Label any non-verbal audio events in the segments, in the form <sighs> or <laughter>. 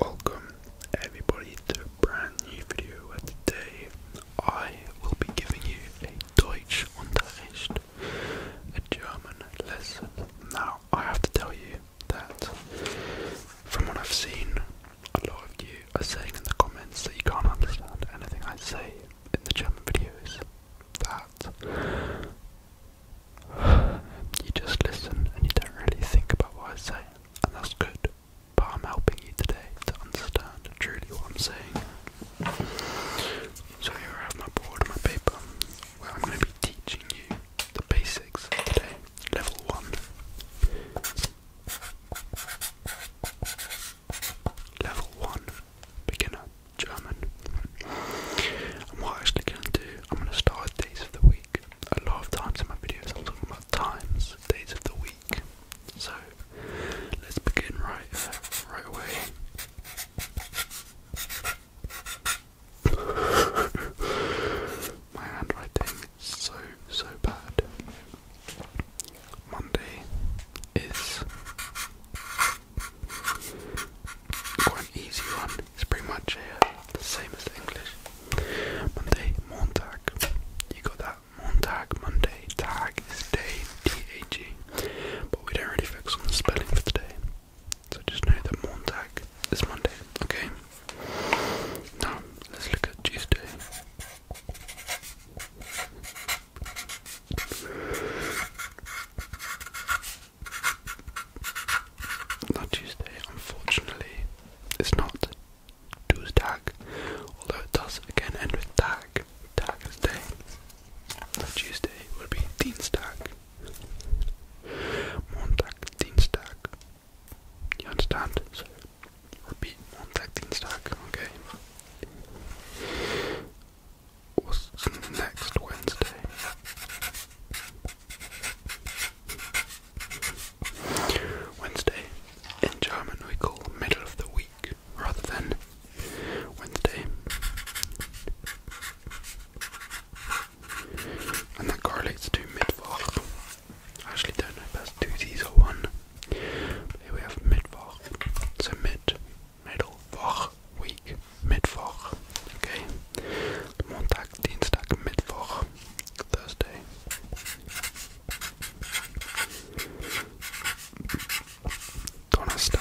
Welcome everybody to a brand new video today I will be giving you a Deutsch Unterricht, a German lesson. Now I have to tell you that from what I've seen, a lot of you are saying in the comments that you can't understand anything I say in the German videos. That you just listen and you don't really think about what I say, and that's good. But I'm helping you today to understand truly what I'm saying. So here I have my board and my paper, where I'm going to be teaching you the basics today, level one. Level 1 beginner German. And what I'm actually going to do, I'm going to start days of the week a lot of times in my videos I'm talking about times, days of the week. So let's begin right right away. my handwriting is so so bad. Monday is quite easy one. It's pretty much uh, the same as English. Monday, Montag. You got that? Montag, Monday. Tag is day, D-A-G. But we don't really focus on the spelling for the day. So just know that Montag is Monday, okay? Now, let's look at Tuesday. Not Tuesday, unfortunately. It's not Tuesdag, although it does again end with dag. Dag is day. So Tuesday would be Dienstag. Montag, Dienstag. You understand? repeat Montag, Dienstag, okay? What's next Wednesday? Wednesday. In German, we call middle of the week rather than Wednesday. And that correlates to Mittwoch. I actually don't know if that's two Z's or one. here we have Mittwoch. So mid, middle, Woch, week, Mittwoch. Okay. Montag, Dienstag, Mittwoch, Thursday. Donnerstag.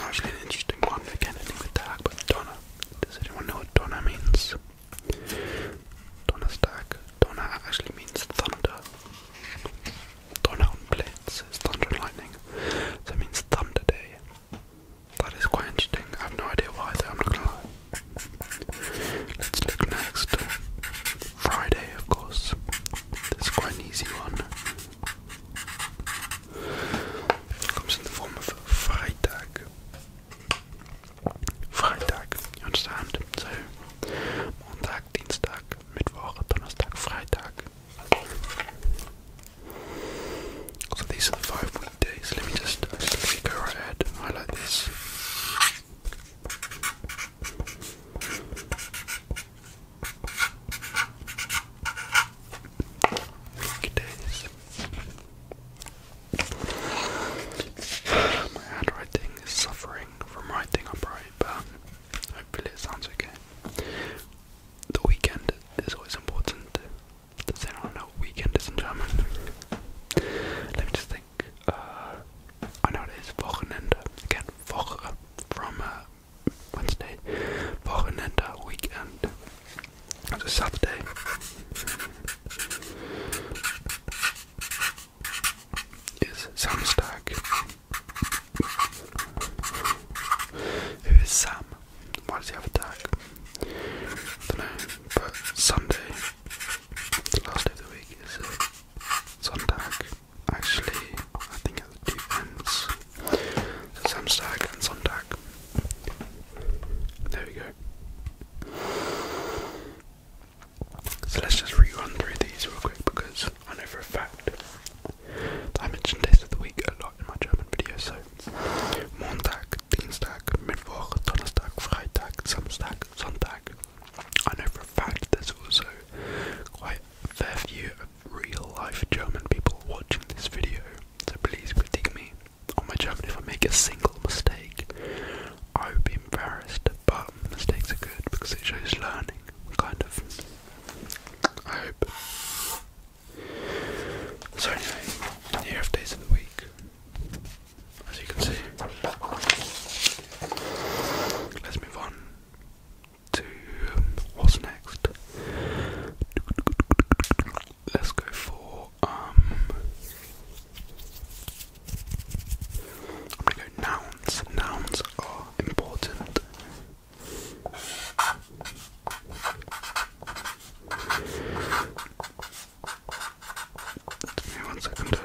Actually, an interesting one. Again, ending with tag, but Donna. Does anyone know what Donna means? Donnerstag. Donna actually means thunder thunder and lightning. That means thunder day. That is quite interesting. I have no idea why though, I'm not gonna lie. Let's look next. Friday, of course. This quite an easy one. Comes in the form of Friday. Friday. you understand? So, Montag, Dienstag, Mittwoch, Donnerstag, Freitag. So these are the five weekdays. Let me just actually go right ahead and highlight this. Weekdays. <sighs> My handwriting is suffering from writing upright, but Hopefully, it sounds okay. The weekend is always important. Does anyone know what weekend is in German? Let me just think. Uh, I know it is Wochenende. Again, Woche from uh, Wednesday. Wochenende, uh, weekend. It's a Saturday is Samstag. Who is Sam? Why does he have a tag? I don't know, but Sunday, the last day of the week, is Sonntag. Actually, I think it depends. So Samstag and Sonntag. There we go. So let's just rerun through these real quick because I know for a fact I mentioned days of the week a lot in my German video. So Montag, Dienstag, Mittwoch, Donnerstag, Freitag, Samstag, Sonntag. I know for a fact there's also quite a fair few of real life German people watching this video. So please critique me on my German if I make a single mistake. I would be embarrassed, but mistakes are good because it shows learning, kind of. I hope. So anyway, here days of the week, as you can see. Let's move on to um, what's next. Let's go for um I'm gonna go nouns. Nouns are important. Give me one second.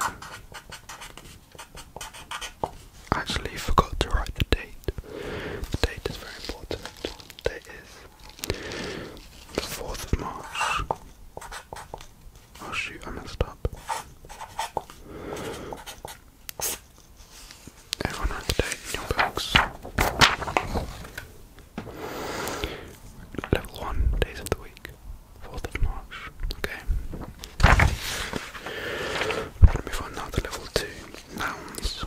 actually forgot to write the date. The date is very important. Date is the 4th of March. Oh shoot, I messed up. Level 1, days of the week, 4th of March. Okay. I'm going to move on now to level 2, nouns.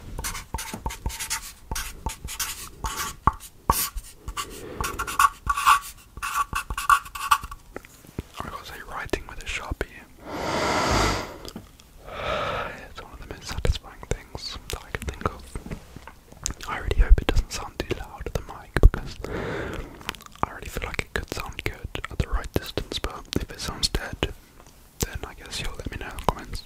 I got writing with a sharpie. It's one of the most satisfying things that I can think of. I really hope it doesn't sound too loud at the mic because I really feel like it could sound good at the right distance, but if it sounds dead, then I guess you'll let me know in comments.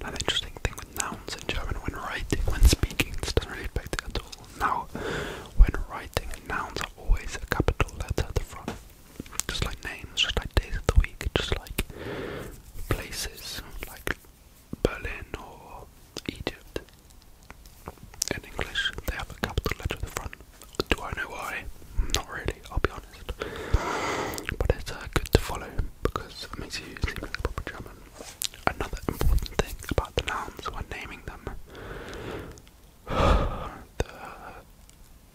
Now the interesting thing with nouns in German when writing, when speaking, this doesn't really affect it at all. Now, when writing, nouns are always a capital letter at the front. Just like names, just like days of the week, just like places, like Berlin or Egypt. In English, they have a capital letter at the front. Do I know why? Not really, I'll be honest. But it's uh, good to follow because it makes you seem like a proper German. Another important thing about the nouns when naming them <sighs> the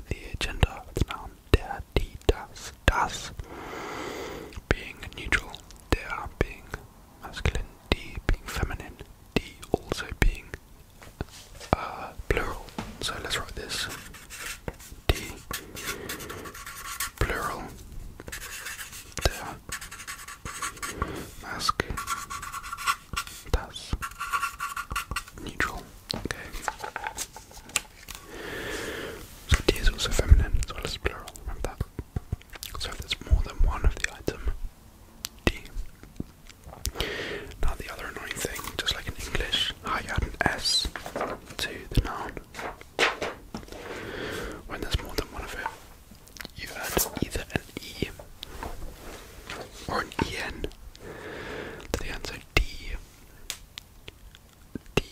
the gender the noun der, die, das, das being neutral, der being masculine, die being feminine, die also being uh, plural. So let's write this. D plural the mask that's neutral. Okay. So tea is also feminine as well as plural, remember that. So if there's more than one of the item tea. Now the other annoying thing, just like in English, how you add an S to the noun. When there's more than one of it, you had either an E or an EN to the answer D. D.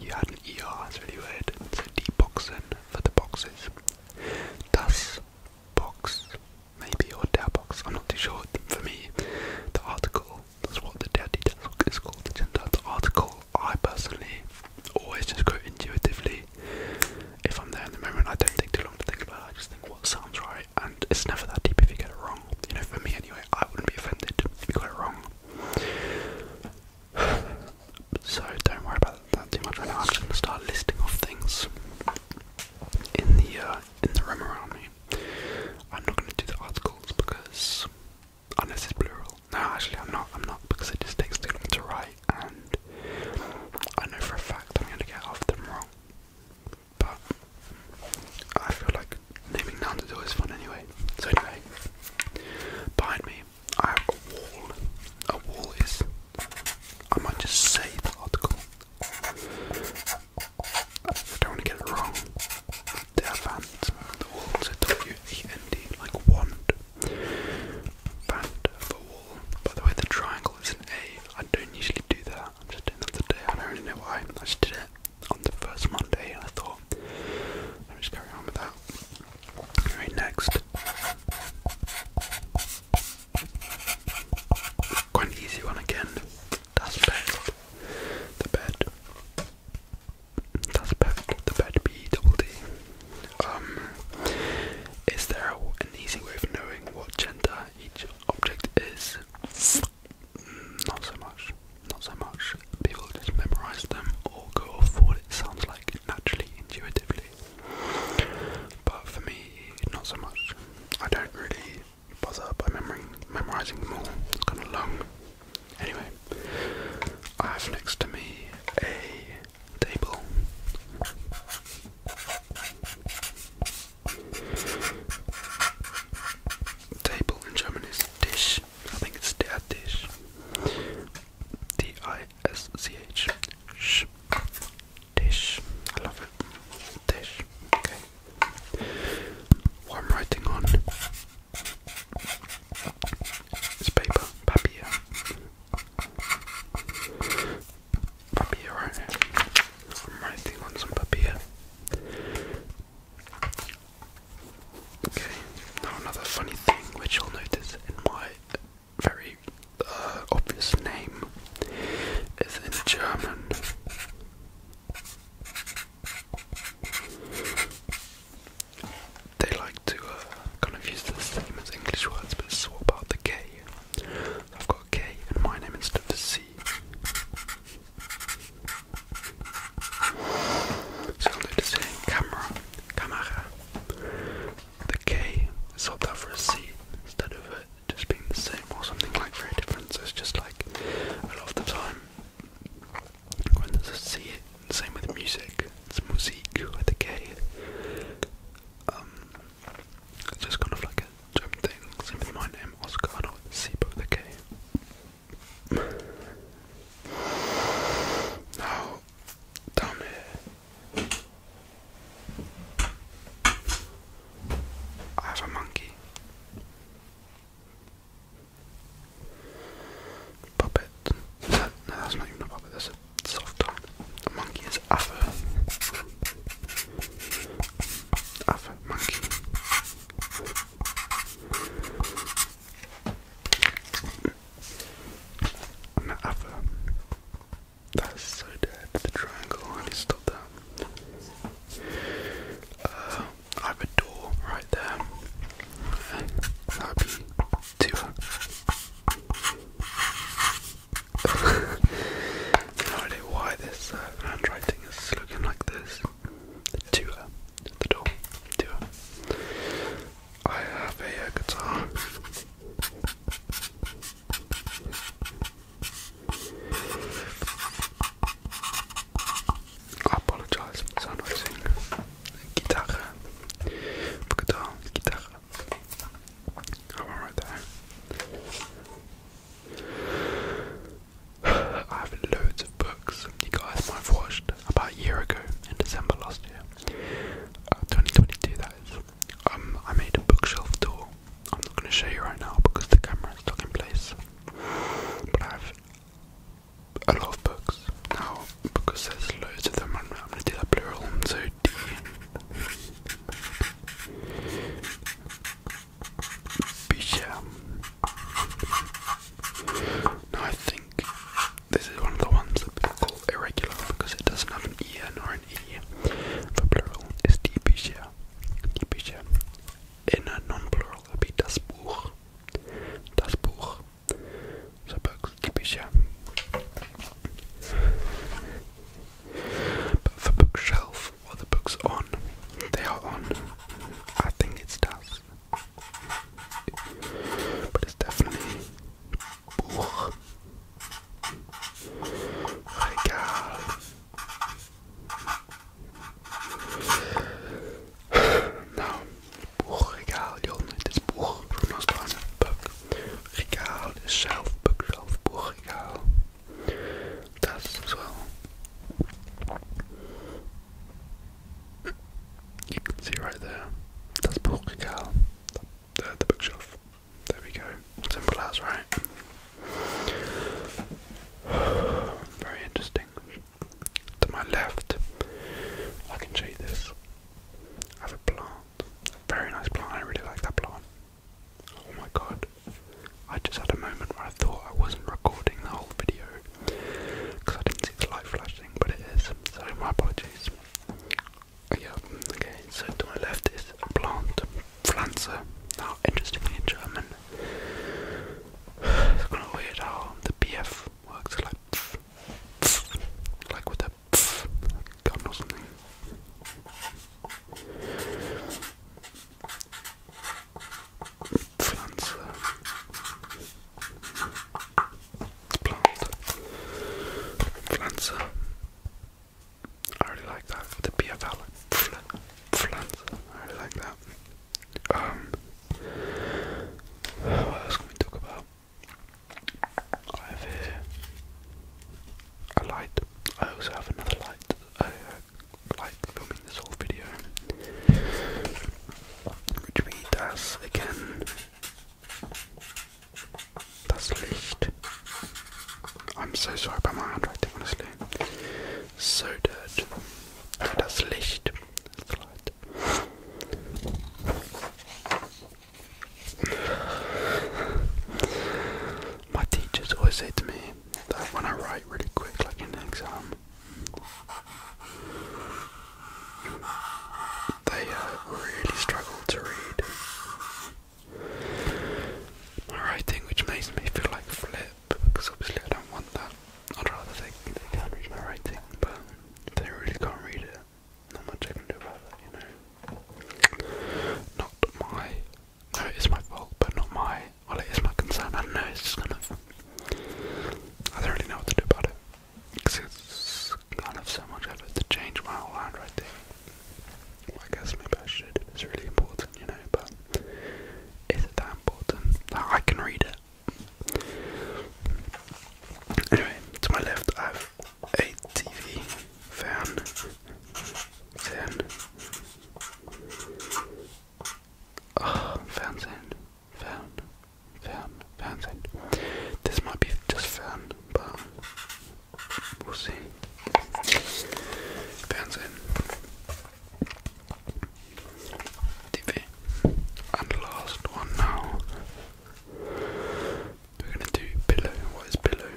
you, had an ER, it's really weird. So D boxen for the boxes. Das box, maybe, or der box, I'm not too sure. For me, the article, that's what the daddy desk is called, the gender, the article I personally always just go intuitively. If I'm there in the moment, I don't take too long to think about it. I just think what sounds right, and it's never that deep if you get it wrong. You know, for me anyway, I wouldn't be offended if you got it wrong. <sighs> so don't worry about that too much I'm just gonna start listing off things in the uh, in the room around me. I'm not gonna do the articles because unless it's plural, no, actually, I'm not. I'm not because it just takes too long to write, and I know for a fact I'm going to get half of them wrong. But I feel like naming nouns is always fun anyway. So anyway, behind me, I have a wall. A wall is. I might just say the article. I don't want to get it wrong. They The walls. I told like wand. Band of a By the way, the triangle is an A. I don't usually do that. I'm just doing that today. I don't really know why. I just did it on the first Monday I thought, i me just carry on with that. Alright, next. Quite easy one again. That's bed. The bed. That's bed. The bed B double D. Um, is there an easy way of knowing what gender each object is? Mm, not so much. Not so much. People just memorize them or go off for what it sounds like naturally, intuitively. But for me, not so much. I don't really bother by memorizing, memorizing them all. It's kind of long. Anyway, I have next to me a table. Table in German is dish. I think it's der dish. D I S C H. Dish. I love it. Dish. Okay. What I'm writing on is paper, papier. Papilla right here. I'm writing on some papilla. Okay, now another funny thing which you'll notice in my very uh, obvious name is in German. They like to uh, kind of use the same as English words but swap out the K. I've got K in my name instead of C. So i do the same camera, camera. The K is swapped out for a C instead of it just being the same or something like very different. So it's just like a lot of the time when there's a C, same with music. It's musique with a K. Um, it's just kind of like a jump thing. Same with my name, Oscar, not with with a K. Now, down here, I have a monkey. Puppet. No, that's not even a puppet, that's a soft toy. The monkey is Affa. Affa, monkey. i That's so dead, the triangle. I need to stop that. I have a door right there. That to <laughs> no idea why this uh, handwriting is looking like this. To her, the door. To I have a uh, guitar. I apologise for sound noising. Gitarre. Gitarre. Gitarre. Ah, that one I have loads of books you guys might have watched about a year ago in December last year. Uh, 2022 that is. Um, I made a bookshelf tour. I'm not going to show you right now because the camera is stuck in place. But I have I love books now because there's loads of them. I'm going to do that plural. So D. Bisha. Now I think this is one of the ones that people call irregular because it doesn't have an en or an e. For plural, it's die Bücher. Die Bücher. In a non-plural, it'd be das Buch. Das Buch. Book yeah. But for bookshelf, what the books on, they are on. I think it's dust. But it's definitely book. Nou, boekregaal, Jon. Het is boek voor ons is zelf, boek zelf, boekregaal. Dat You can see right there. That's boekregaal. The, the bookshelf. There we go. Simple as, right? Very interesting to my left, I can show you this. I have a plant, very nice plant. I really like that plant. Oh my god! I just had a moment where I thought I wasn't recording the whole video because I didn't see the light flashing, but it is. So my apologies. Oh, yeah. Okay. So to my left is a plant, Pflanze. Now, interestingly in German, <sighs> it's kind of weird how um, the BF works like pff, like with a pff, gun or something. Plants, uh, plant, Flancer. Uh, I really like that. The PFL, Flancer. I really like that. Um, what else can we talk about? I have here a light. I also have another light. I like filming this whole video, which means that's again that's Licht. I'm so sorry about my handwriting, honestly. So dirt. Oh, Licht. My teachers always say to me that when I write really quick, like in an exam, they uh, really struggle to read my writing, which makes me feel like flip because obviously I don't want that. I'd rather they, they can read my writing, but they really can't read it. Not much I can do about that, you know. Not my. it is my fault, but not my. Well, it is my concern. I don't know. It's just kind of. I don't really know what to do about it because it's kind of so much effort to change my whole handwriting. Well, I guess maybe I should. It's really important, you know. But is it that important? Like, I can read it. Anyway, to my left I have a TV fan. Fan. Oh, fan sound. Fan. Fan. This might be just fan, but we'll see. Fan TV. And last one now. We're gonna do pillow. What is pillow?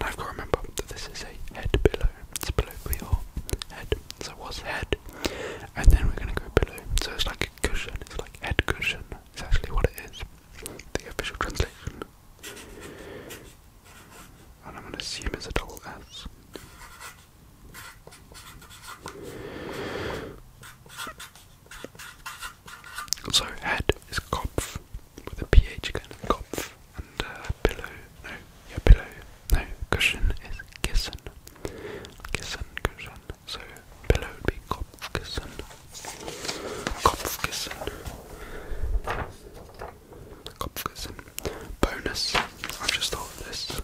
Now I've got to remember that this is a head pillow. It's a pillow for your head. So what's head? And then we're gonna go pillow. So it's like a cushion. It's like head cushion. It's actually what it is. The official translation. And I'm gonna assume it's a double S. So head is Kopf with a PH again, Kopf, and uh, pillow, no, yeah, pillow, no, cushion is Kissen, Kissen, cushion, so pillow would be Kopf, Kissen, Bonus, I've just thought of this.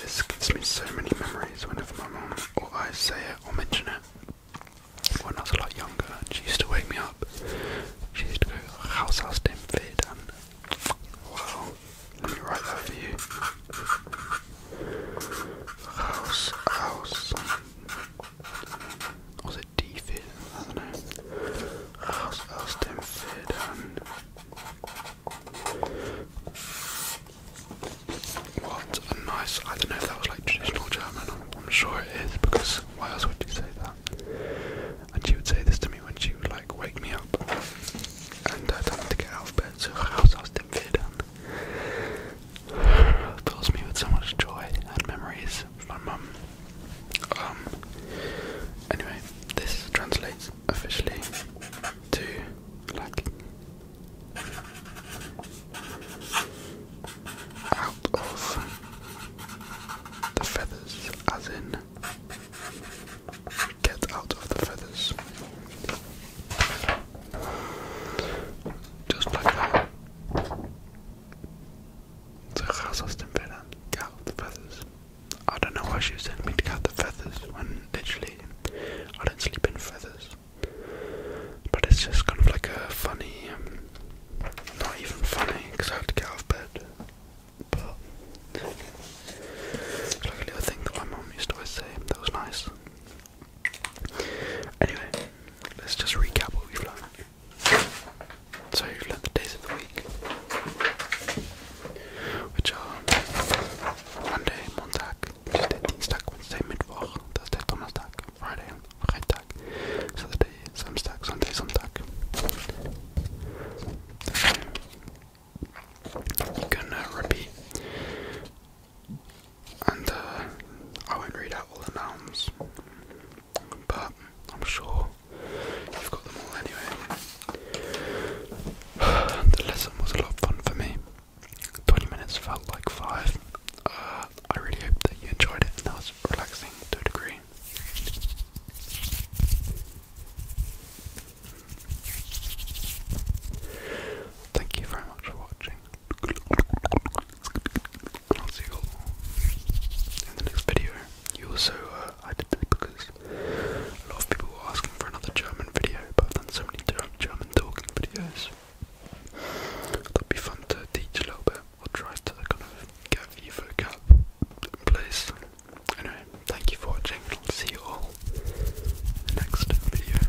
This gives me so many memories whenever my mum or I say it or mention it. When I was a lot younger, she used to wake me up. She used to go, How's house dim fit? wow, let me write that for you. House, house. Was a D fit, I don't know. I'll, I'll stem fit and um, what a nice, I don't know if that was like traditional German, I'm, I'm sure it is because why else would you say that? And she would say this to me when she would like wake me up and I don't to get out of bed, so house I was dim fit and um, <sighs> fills me with so much joy and memories my mum. Um, anyway, this translates officially to like out of the feathers, as in get out of the feathers. Just like that. So Kazakhstan Finland cut the feathers. I don't know why she was telling me to cut the feathers when literally I don't sleep in feathers. But it's just kind of like a funny, um, not even funny because I have to get off bed. But it's like a little thing that my mum used to always say that was nice. Anyway, let's just recap what we've learned. So you've learned the days of the week, which are Monday, Montag, Tuesday, Dienstag, Wednesday, Mittwoch, Thursday, Donnerstag, Friday, Freitag, Saturday, Samstag, Sunday, Sonntag. You can uh, repeat, and uh, I won't read out all the nouns but I'm sure you've got them all anyway. <sighs> the lesson was a lot of fun for me. 20 minutes felt like 5. Uh, I really hope that you enjoyed it that was relaxing to a degree. Thank you very much for watching. I'll see you in the next video. You also, uh, I did this because a lot of people were asking for another German video, but I've done so many German talking videos. That'd be fun to teach a little bit, or try to kind of get the vocab in place. Anyway, thank you for watching, I'll see you all next video.